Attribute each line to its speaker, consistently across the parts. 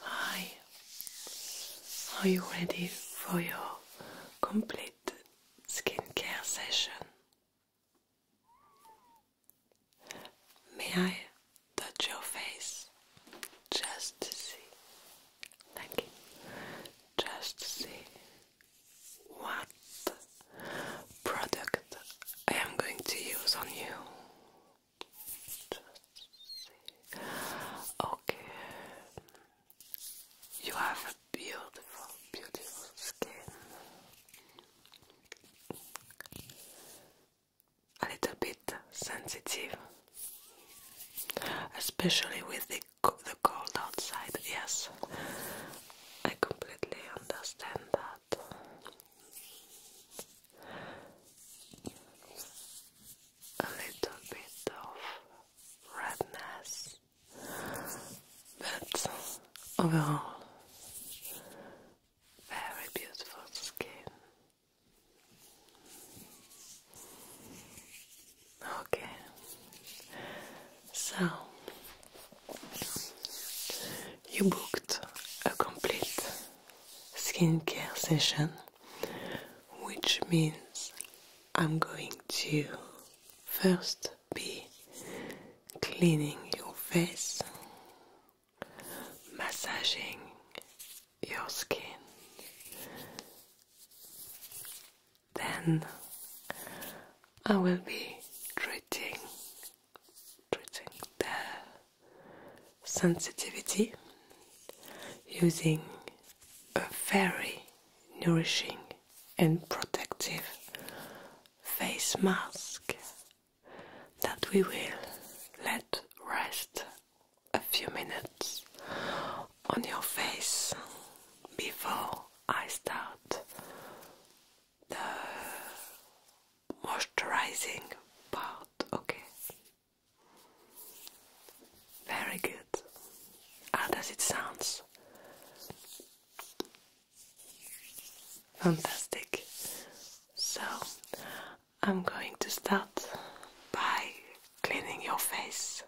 Speaker 1: Hi, are you ready for your complete skincare session? May I touch your face just to see? Thank you. Just to see what product I am going to use on you. Just see. Okay. You have a beautiful, beautiful skin. A little bit sensitive, especially with the the cold outside. Yes, I completely understand that a little bit of redness, but overall, very beautiful skin. Okay, so you booked a complete skincare session, which means I'm going to first be cleaning your face, massaging your skin, then I will be treating treating their sensitivity using a very nourishing and protective face mask that we will let rest a few minutes on your face before I start the moisturizing part, okay? Very good. How does it sounds? Fantastic. So, I'm going to start by cleaning your face.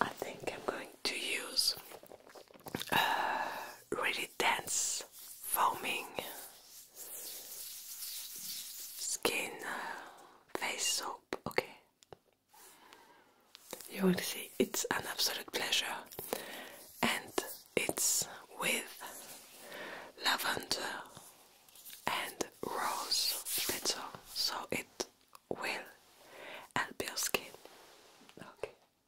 Speaker 1: I think I'm going to use uh, really dense foaming skin uh, face soap. Okay, you will see it's an absolute pleasure, and it's with lavender and rose petal, so it will help your skin. Okay.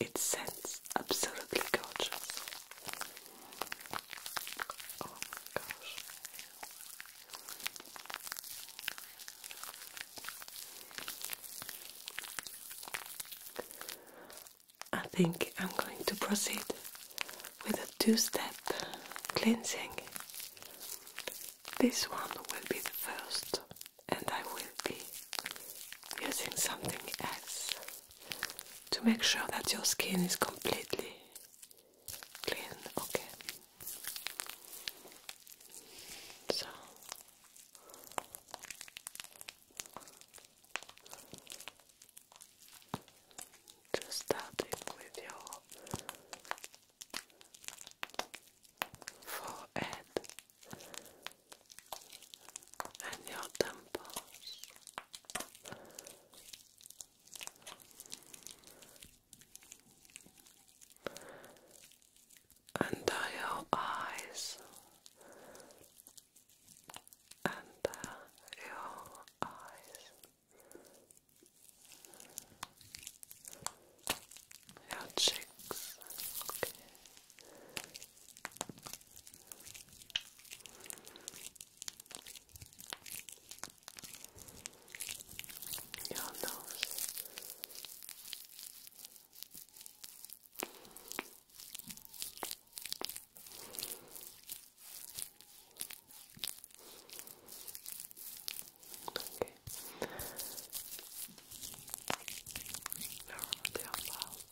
Speaker 1: It sounds absolutely gorgeous. Oh I think I'm going to proceed with a two step cleansing. This one will be the first, and I will be using something else to make sure that your skin is completely clean. Okay. So. Just starting with your forehead and your temples. Under your eyes, under uh, your eyes. Your cheeks, Your nose, Okay. Now we're going to have valves.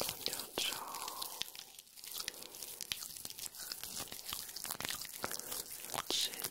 Speaker 1: On your jaw. Chin.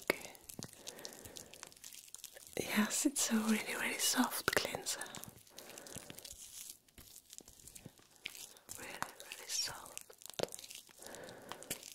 Speaker 1: Okay. Yes, it's a really, really soft cleanser. Really, really soft.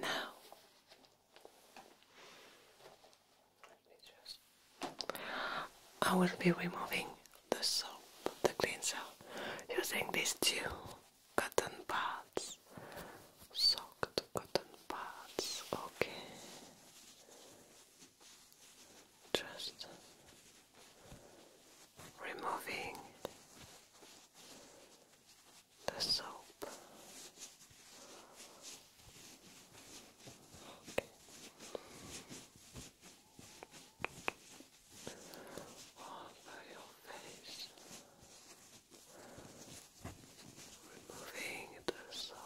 Speaker 1: Now, I will be removing the soap, the cleanser, using these two cotton pads, soaked cotton pads, okay. Just removing the soap all over your face, removing the soap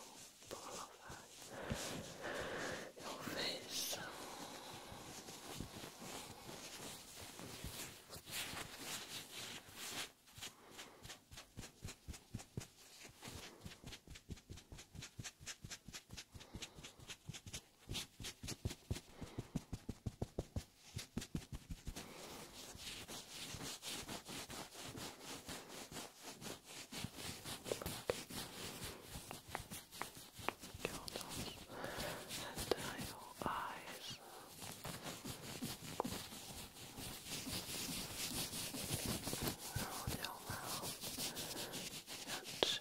Speaker 1: all over your face your nose and uh, your eyes. Around your mouth, your cheeks.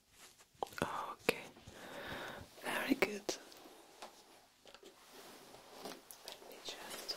Speaker 1: Oh, okay, very good. Let me just.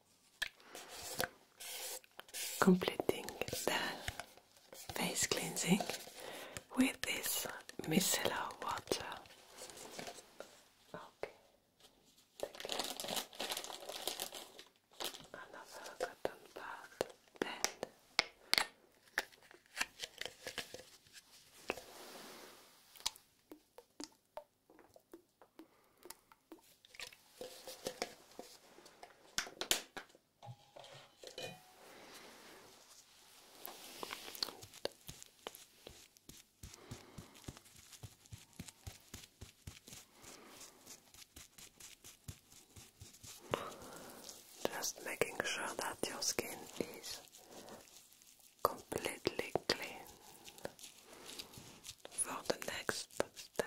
Speaker 1: completing the face cleansing with this micellar water. Okay. Another cotton pad just making sure that your skin is completely clean for the next step.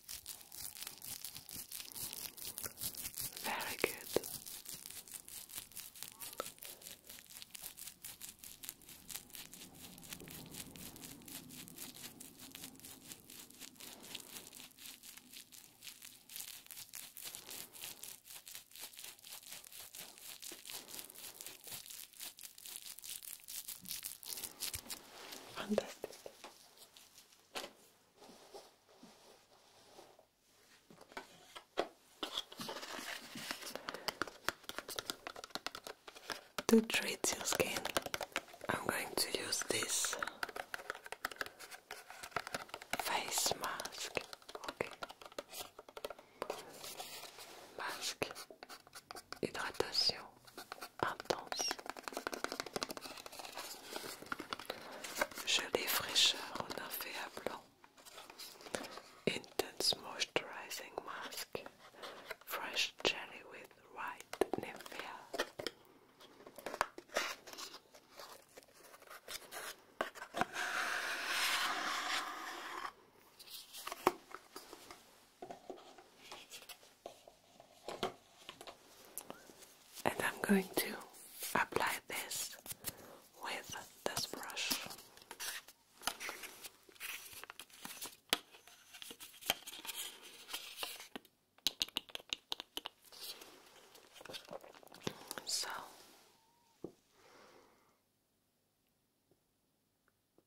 Speaker 1: Very good. Fantastic. To treat your skin, I'm going to use this face mask. Okay. Masque, hydratation intense. Gelée fraîcheur en un fait à blanc. Intense moisturizing mask. Fresh jelly with white Nivea. And I'm going to apply this with this brush. So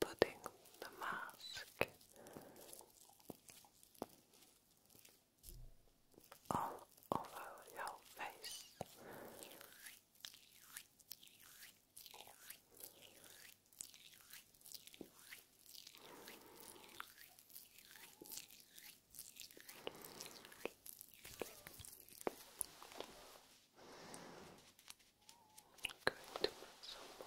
Speaker 1: putting the mask all over your face. i to put some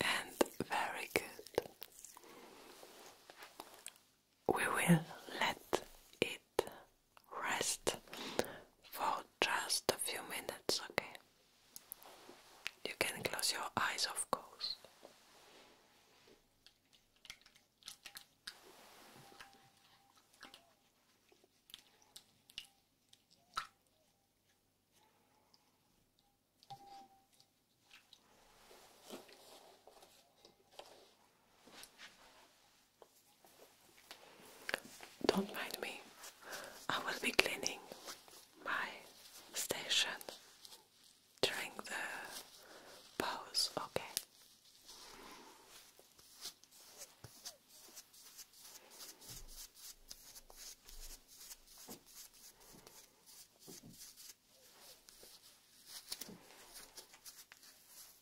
Speaker 1: And very good we will let it rest for just a few minutes, okay? You can close your eyes, of course. Don't mind me, I will be cleaning my station during the pause, okay?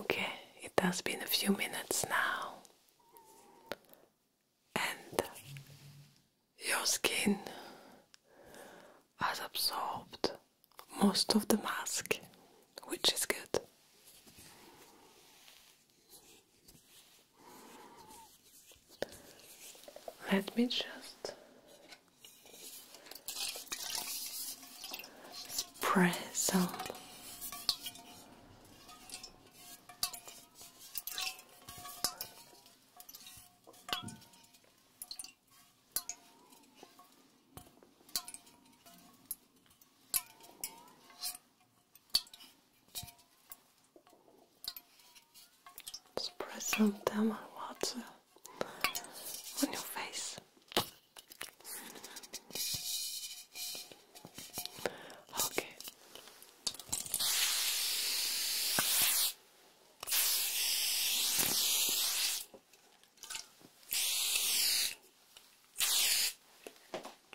Speaker 1: Okay, it has been a few minutes now, and your skin has absorbed most of the mask, which is good. Let me just spray some Spray some Tamil water on your face. Okay.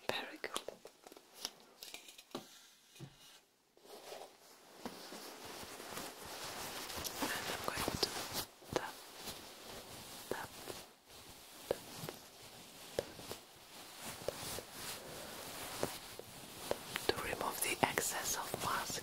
Speaker 1: Very good. And I'm going to tap, tap, tap, tap, tap, tap, to remove the excess of mask.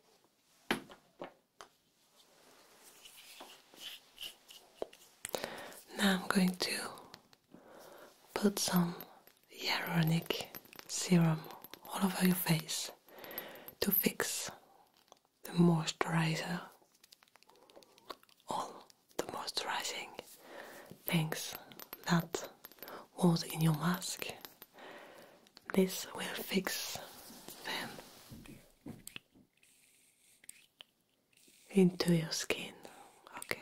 Speaker 1: Now I'm going to put some hyaluronic serum all over your face to fix the moisturizer, all the moisturizing things that was in your mask this will fix them into your skin. Okay.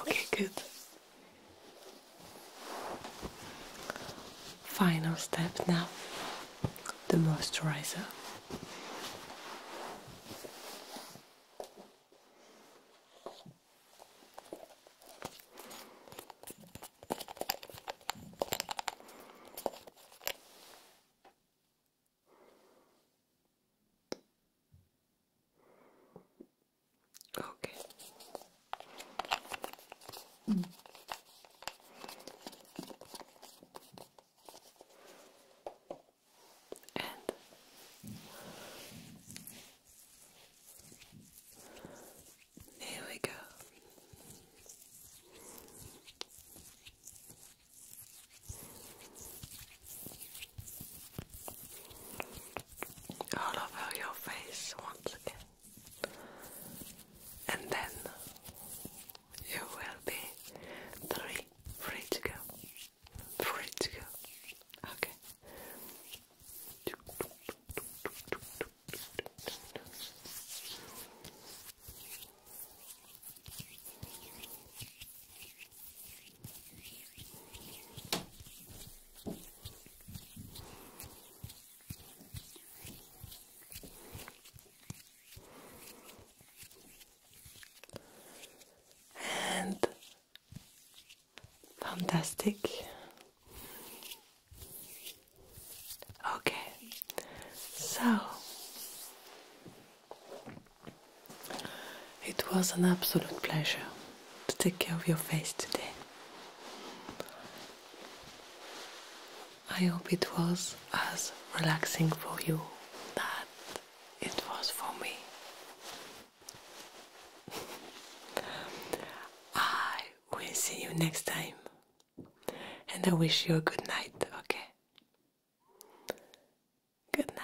Speaker 1: Okay, good. Final step now the moisturizer. Okay. Mm. And here we go. All over your face once again, and then you will be three, free to go, free to go. Okay. And fantastic. Okay, so it was an absolute pleasure to take care of your face today. I hope it was as relaxing for you that it was for me. I will see you next time and I wish you a good night, okay? Good night.